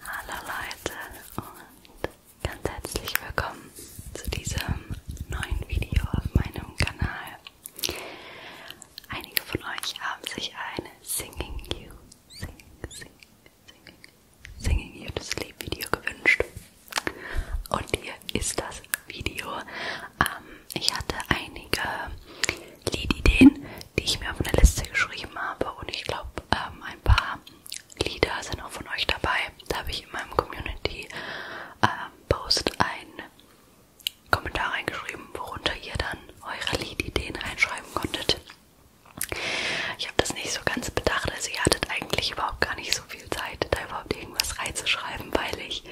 Hallo Leute und ganz herzlich willkommen zu diesem neuen Video auf meinem Kanal. Einige von euch haben sich ein Singing You, sing, sing, singing, singing You to Sleep Video gewünscht. Und hier ist das Video. Ähm, ich hatte einige Liedideen, die ich mir auf eine Liste geschrieben habe und ich glaube, ähm, ein paar Lieder sind auch von euch dabei. Da habe ich in meinem Community ähm, Post einen Kommentar reingeschrieben, worunter ihr dann eure Liedideen reinschreiben konntet. Ich habe das nicht so ganz bedacht, also ihr hattet eigentlich überhaupt gar nicht so viel Zeit, da überhaupt irgendwas reinzuschreiben, weil ich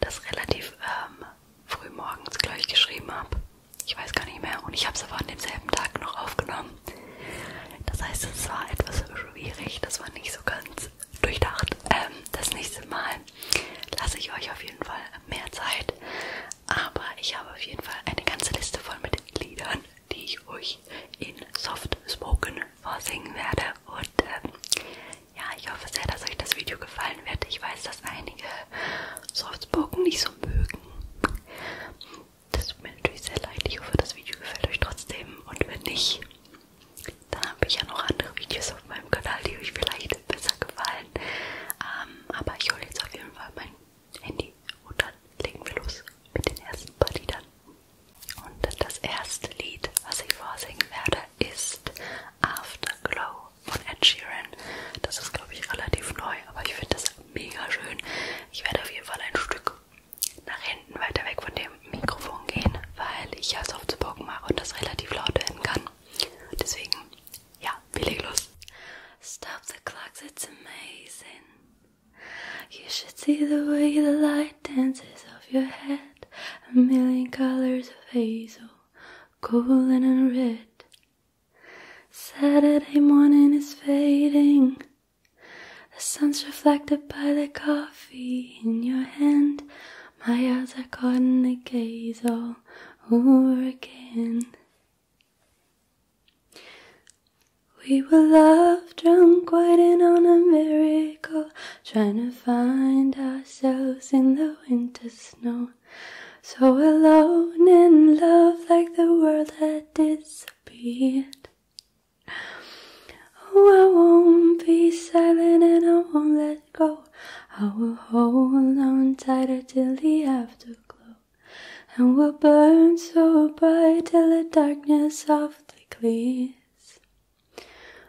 das relativ ähm, früh morgens gleich geschrieben habe. Ich weiß gar nicht mehr. Und ich habe es aber an demselben Tag noch aufgenommen. Das heißt, es war etwas schwierig. Das war nicht so ganz durchdacht. Ähm, das nächste Mal lasse ich euch auf jeden Fall mehr Zeit. Aber ich habe auf jeden Fall eine ganze Liste voll mit Liedern, die ich euch in Soft Spoken vorsingen werde. Und ähm, ja, ich hoffe sehr, dass euch das Video gefallen wird. Ich weiß, dass einige Soft Spoken nicht so mögen. Das tut mir natürlich sehr leid. Ich hoffe, das Video gefällt euch trotzdem. Und wenn nicht, dann habe ich ja noch andere Videos auf meinem Kanal, die euch vielleicht besser gefallen. Ähm, aber ich hole jetzt auf jeden Fall mein Handy und dann legen wir los mit den ersten paar Liedern. Und das erste Lied, was ich vorsingen werde, ist Afterglow von Ed Sheeran. Das ist, glaube ich, relativ neu, aber ich finde das mega schön. Ich werde auf jeden Fall ein Stück nach hinten weiter weg von dem Mikrofon gehen, weil ich ja Softbogen mache und das relativ laut werden kann. Deswegen, ja, wir legen los. Stop the clocks, it's amazing. You should see the way the light dances off your head. A million colors of hazel, golden and red. Saturday morning is fading. The sun's reflected by the coffee in your hand. My eyes are caught in the gaze all over again. We were love drunk, waiting on a miracle, trying to find ourselves in the winter snow. So alone in love, like the world had disappeared. Oh, I won't be silent and I won't let go. I will hold on tighter till the afterglow. And we'll burn so bright till the darkness softly clears.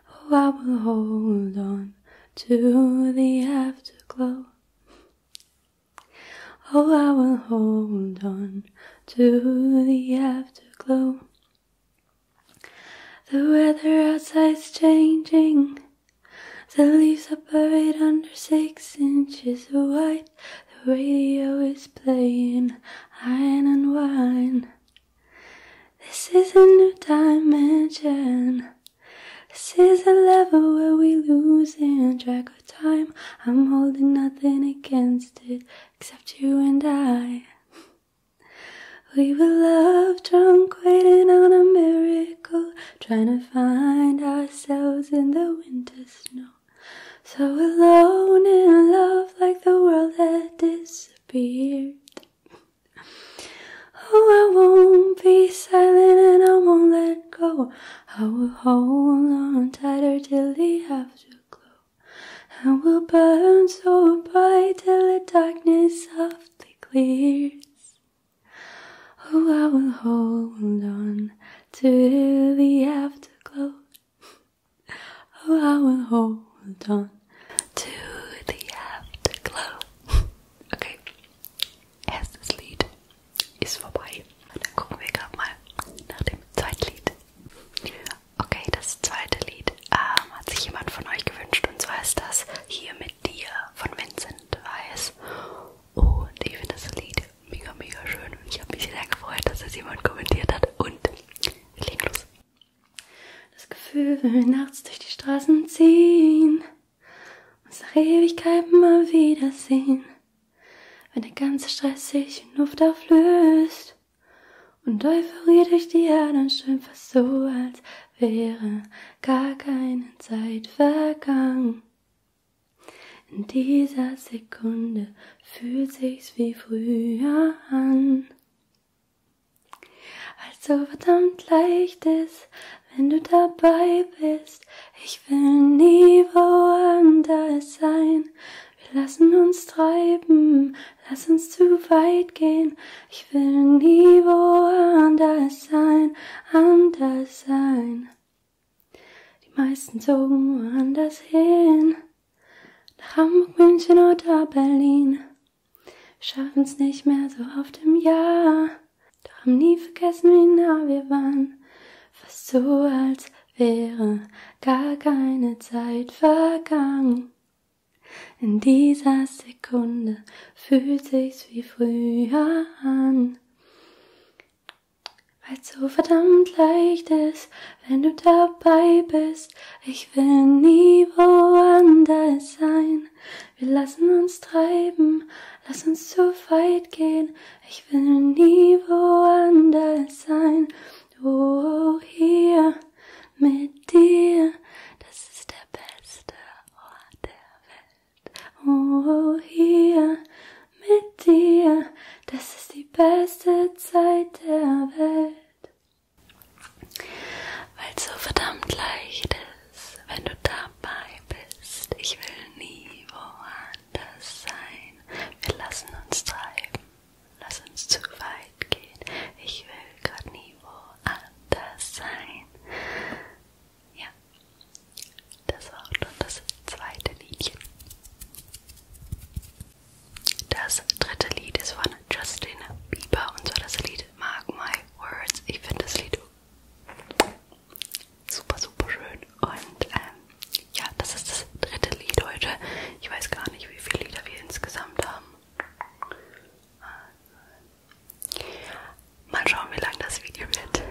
Oh, I will hold on to the afterglow. Oh, I will hold on to the afterglow. The weather outside's changing. The leaves are buried under six inches of white. The radio is playing iron and wine. This is a new dimension. This is a level where we lose in track time. I'm holding nothing against it except you and I. We were love drunk, waiting on a miracle, trying to find ourselves in the winter snow. So alone in love, like the world had disappeared. Oh, I won't be silent and I won't let go. I will hold on tighter till the afterglow. I will burn so bright till the darkness softly clears. Oh, I will hold on till the afterglow. Oh, I will hold on till the afterglow. okay, as this lead. ist vorbei. Dann gucken wir gerade mal nach dem zweiten Lied. Okay, das zweite Lied ähm, hat sich jemand von euch gewünscht und zwar ist das Hier mit dir von Vincent Weiss. Und ich finde das Lied mega, mega schön und ich habe mich sehr gefreut, dass es jemand kommentiert hat. Und wir legen los. Das Gefühl, wenn wir nachts durch die Straßen ziehen, uns nach Ewigkeiten mal wiedersehen wenn der ganze Stress sich in Luft auflöst und Euphorie durch die Herden strömt, fast so, als wäre gar keine Zeit vergangen. In dieser Sekunde fühlt sich's wie früher an. Als so verdammt leicht ist, wenn du dabei bist bist. Ich will nie woanders sein. Wir lassen uns treiben, lass uns zu weit gehen. Ich will nie woanders sein, anders sein. Die meisten zogen woanders hin. Nach Hamburg, München oder Berlin. Wir schaffen's nicht mehr so oft im Jahr. Doch haben nie vergessen, wie nah wir waren. Fast so, als wäre gar keine Zeit vergangen. In dieser Sekunde fühlt sich's wie früher an. Weil's so verdammt leicht ist, wenn du dabei bist. Ich will nie woanders sein. Wir lassen uns treiben, lass uns zu weit gehen. Ich will nie woanders sein, oh hier mit dir. Das ist der beste Ort der Welt, oh hier mit dir. Das ist die beste Zeit der Welt. Weil so verdammt leicht ist, wenn du dabei bist. Ich will nie woanders anders sein. Wir lassen uns treiben. Lass uns zu weit gehen. Ich will gerade nie woanders sein. Ja, das war auch schon das zweite Liedchen. Das dritte Lied ist von Justin Bieber und zwar das Lied Mark My Words. Ich finde das Lied super, super schön. Und ähm, ja, das ist das dritte Lied heute. Ich weiß gar nicht, wie viele Lieder wir insgesamt haben. Mal schauen, wie lang das Video wird.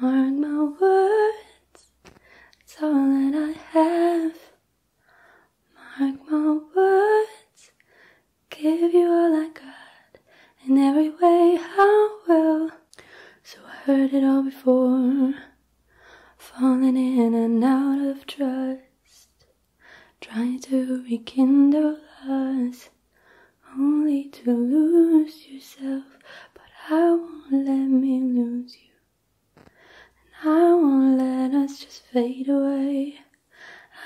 Mark my words, it's all that I have. Mark my words, give you all I got. In every way I will. So I heard it all before. Falling in and out of trust. Trying to rekindle us only to lose yourself. But I won't let me lose you, and I won't let us just fade away.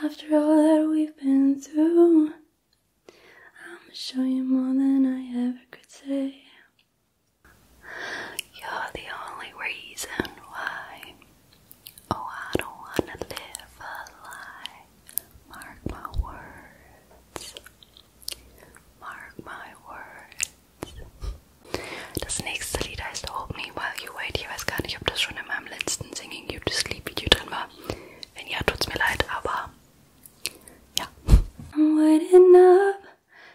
After all that we've been through, I'ma show you more than I ever could say. You're the only reason why. Oh, I don't wanna live a lie. Mark my words. Mark my words. Das nächste Lied heißt Hold Me While You Wait. Ich weiß gar nicht, ob das schon in meinem letzten Singing You to Sleep Video drin war. Wenn ja, tut's mir leid, aber ja. I'm waiting up,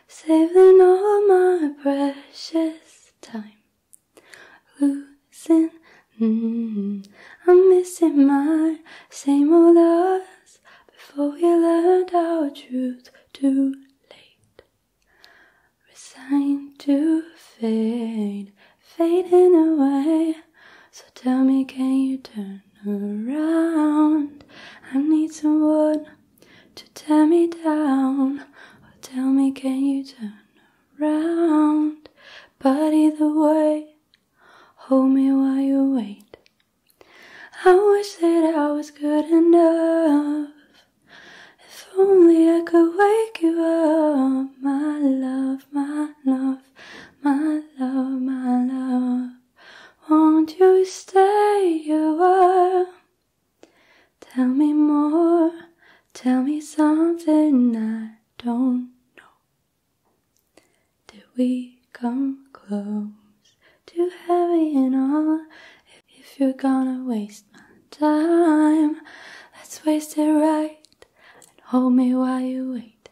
saving all my precious time. Losing, mm, I'm missing my same old before we learned our truth too late. Resigned to fade, fading away. So tell me, can you turn around? I need someone to tear me down. Or tell me, can you turn around? But either way, hold me while you wait. I wish that I was good enough. If only I could wake you up, my love, my love, my love, my love. Won't you stay you are? Tell me more, tell me something I don't know. Did we come close Too heavy and all? If you're gonna waste my time, let's waste it right and hold me while you wait.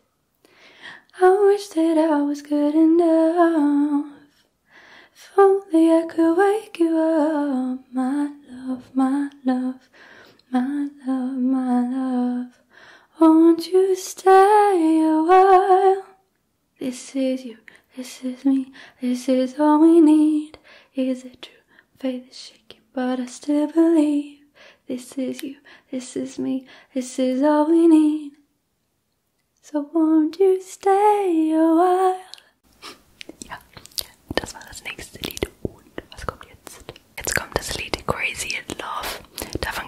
I wish that I was good enough. If only I could wake you up, my love, my love, my love, my love. Won't you stay a while? This is you, this is me, this is all we need. Is it true? Faith is shaking, but I still believe. This is you, this is me, this is all we need. So won't you stay a while? Ja, das war das nächste Lied. Und was kommt jetzt? Jetzt kommt das Lied Crazy in Love. Davon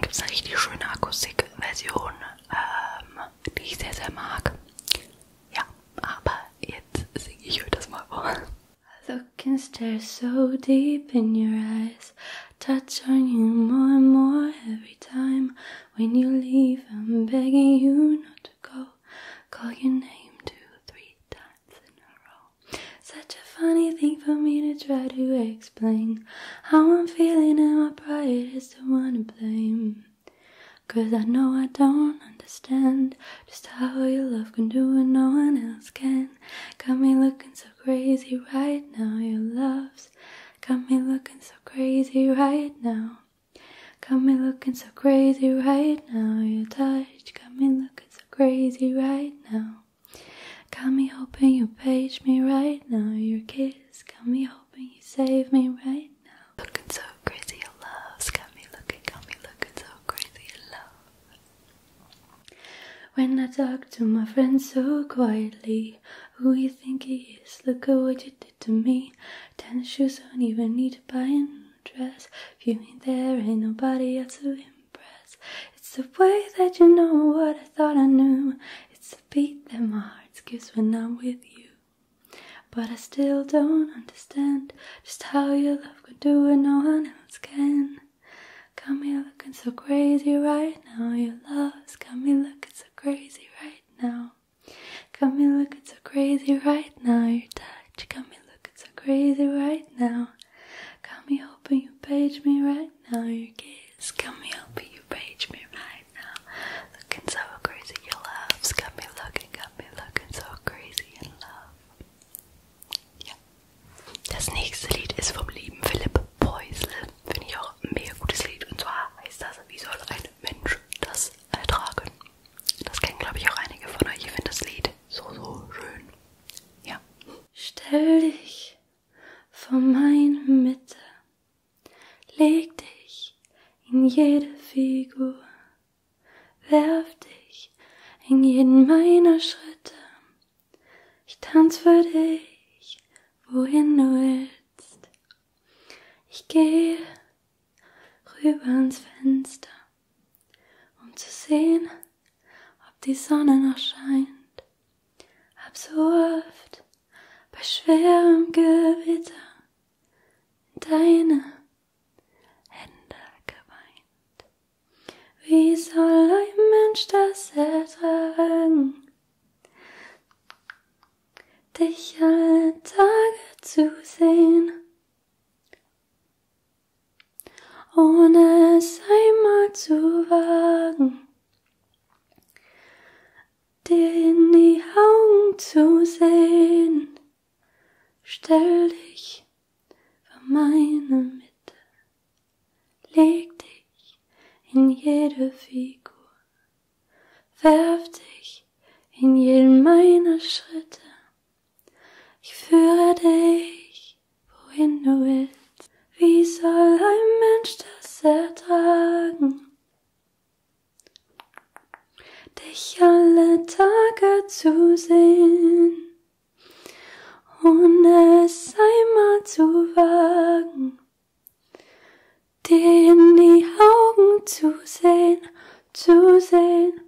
stare ähm, so deep in your eyes. Touch on you more and more every time. When you leave, I'm begging you not to go. Call your name two, three times in a row. Such a funny thing for me to try to explain. How I'm feeling and my pride is the one to blame. Cause I know I don't understand just how your love can do what no one else can. Got me looking so crazy right now, your love's got me looking so crazy right now. Got me looking so crazy right now, your touch got me looking so crazy right now. Got me hoping you page me right now. Your kiss got me hoping you save me right now. Looking so crazy, your love got me looking, got me looking so crazy, your love. When I talk to my friends so quietly, who you think he is? Look at what you did to me. Tennis shoes don't even need to buy a new dress. If you ain't there, ain't nobody else to impress. It's the way that you know what I thought I knew. It's the beat that my heart skips when I'm with you. But I still don't understand just how your love can do what no one else can. Got me looking so crazy right now. Your love's got me looking so crazy right now. Got me looking so crazy right now. Your touch got me looking so crazy right now. Got me hoping you page me right now. Your kiss. please come here, you page me right now. Looking so crazy, your love's got me looking, got me looking so crazy in love. Ja. Das nächste Lied ist vom lieben Philipp Poisel. Finde ich auch ein mega gutes Lied. Und zwar heißt das, wie soll ein Mensch das ertragen? Das kennen, glaube ich, auch einige von euch. Ich finde das Lied so, so schön. Ja. Stell dich vor meine Mitte. Leg dich in jede Figur, werf dich in jeden meiner Schritte. Ich tanz für dich, wohin du willst. Ich gehe rüber ans Fenster, um zu sehen, ob die Sonne noch scheint absurd bei schwerem Gewitter in deine Hände geweint. Wie soll ein Mensch das ertragen? Dich alle Tage zu sehen, ohne es einmal zu wagen dir in die Augen zu sehen. Stell dich vor meine Mitte, leg dich in jede Figur, werf dich in jeden meiner Schritte. Ich führe dich, wohin du willst, wie soll ein Mensch das ertragen? Dich alle Tage zu sehen, ohne es einmal zu wagen, dir in die Augen zu sehen, zu sehen,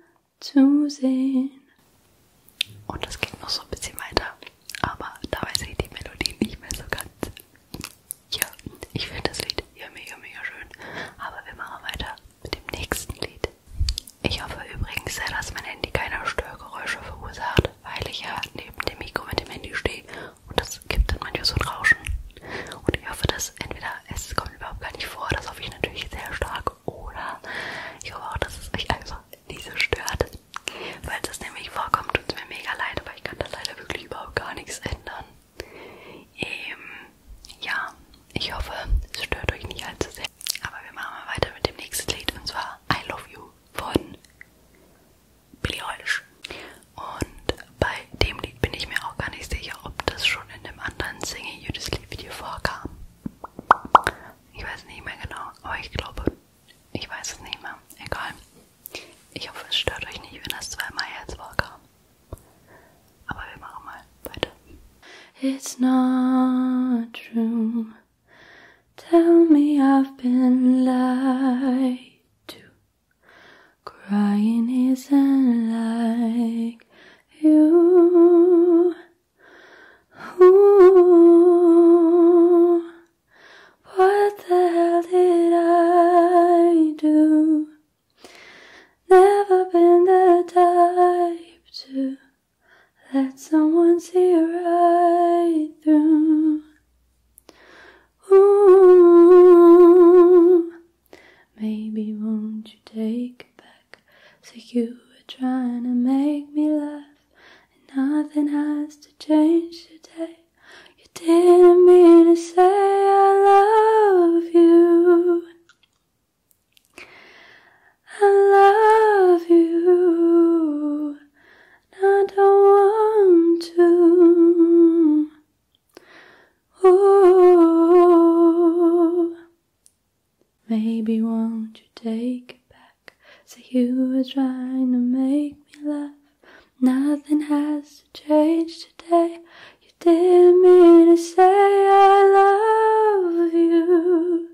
zu sehen. Und es geht noch so ein bisschen weiter aber dabei sind die Melodien nicht mehr so ganz. Ja, ich finde das Lied ja mega, mega schön, aber wir machen weiter mit dem nächsten Lied. Ich hoffe übrigens sehr, dass mein Handy keine Störgeräusche verursacht, weil ich ja neben dem Mikro mit dem Handy stehe und das gibt dann manchmal so ein Rauschen. Und ich hoffe, dass entweder es kommt überhaupt gar nicht vor, das hoffe ich natürlich sehr stark, oder ich hoffe auch, dass es euch einfach nicht so stört. Weil das nämlich vorkommt, tut es mir mega leid, aber ich kann da leider wirklich überhaupt gar nichts ändern. Ähm, ja, ich hoffe, es stört euch nicht allzu sehr. Aber wir machen mal weiter mit dem nächsten Lied und zwar I Love You von Billie Eilish. Und bei dem Lied bin ich mir auch gar nicht sicher, ob das schon in dem anderen Singing You Just Leave Video vorkam. Ich weiß nicht mehr genau, aber ich glaube ich weiß es nicht mehr. Egal. Ich hoffe, es stört euch nicht, wenn das zweimal jetzt vorkam. Aber wir machen mal weiter. It's not true. Tell me I've been lied to. Crying isn't like you. Ooh. What the hell did I do? Never been the type to let someone see right through. Ooh, maybe won't you take it back? so you were trying to make me laugh, and nothing has to change today. You didn't mean to say I love you. I love you. And I don't want to. Ooh. Maybe won't you take it back? Say so you were trying to make me laugh. Nothing has change today. You didn't mean to say I love you,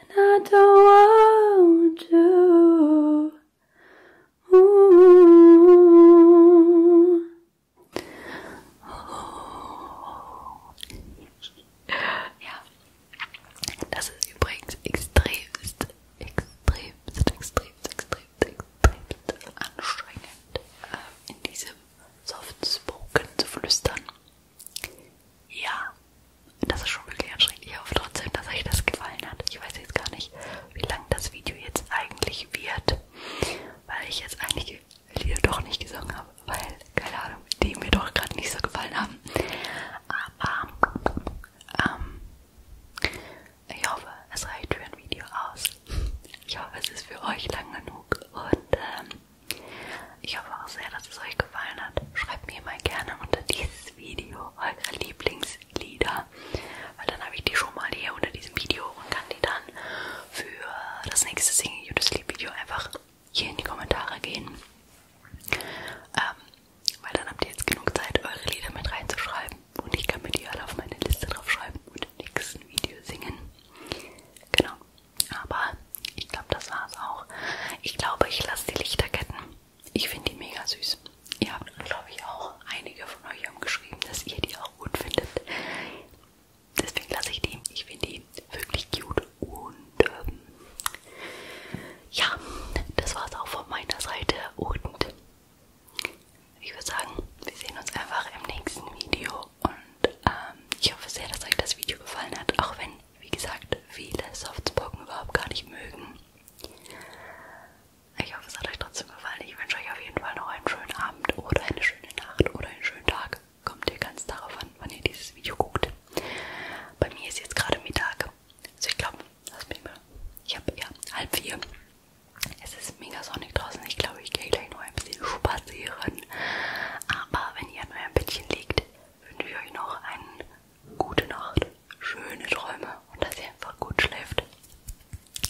and I don't want to. Ooh. ja, das übrigens extremst extremst, extremst, extremst, extremst anstrengend, äh, in diesem Soft-Spoken zu flüstern. Ja, das ist schon wirklich anstrengend. Ich hoffe trotzdem, dass euch das gefallen hat. Ich weiß jetzt gar nicht, wie lang das Video jetzt eigentlich wird, weil ich jetzt einige Lieder doch nicht gesungen habe, weil, keine Ahnung, die mir doch gerade nicht so gefallen haben. Aber, ähm, ich hoffe, es reicht für ein Video aus. Ich hoffe, es ist für euch lang genug und ähm, ich hoffe auch sehr, dass es euch gefallen hat. Schreibt mir mal gerne unter dieses Video eure Lieblingslieder, weil dann habe ich die schon mal hier unter diesem Video und kann die dann für das nächste Singing You to Sleep Video einfach hier in die Kommentare gehen. Ähm, weil dann habt ihr jetzt genug Zeit, eure Lieder mit reinzuschreiben. Und ich kann mir die alle auf meine Liste draufschreiben und im nächsten Video singen. Genau. Aber ich glaube, das war's auch. Ich glaube, ich lasse die Lichterketten. Ich finde die mega süß. Ihr habt, glaube ich, auch einige von euch haben geschrieben, dass ihr die auch gut findet. Deswegen lasse ich die. Ich finde die wirklich cute. Und ähm, ja, das war's auch von meiner Seite. Und ich würde sagen, wir sehen uns einfach im nächsten Video und ähm, ich hoffe sehr, dass euch das Video gefallen hat, auch wenn, wie gesagt, viele Softspoken überhaupt gar nicht mögen. Ich hoffe, es hat euch trotzdem gefallen. Ich wünsche euch auf jeden Fall noch einen schönen Abend oder eine schöne Nacht oder einen schönen Tag. Kommt ihr ganz darauf an, wann ihr dieses Video guckt. Bei mir ist jetzt gerade Mittag. Also ich glaube, lass mich mal. Ich habe ja halb vier. Es ist mega sonnig draußen. Ich glaube, ich gehe gleich noch ein bisschen spazieren. Aber wenn ihr an eurem Bettchen liegt, wünsche ich euch noch eine gute Nacht, schöne Träume und dass ihr einfach gut schläft.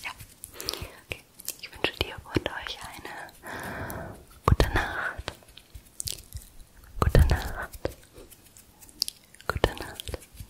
Ja. Okay. Ich wünsche dir und euch eine gute Nacht. Gute Nacht. Gute Nacht.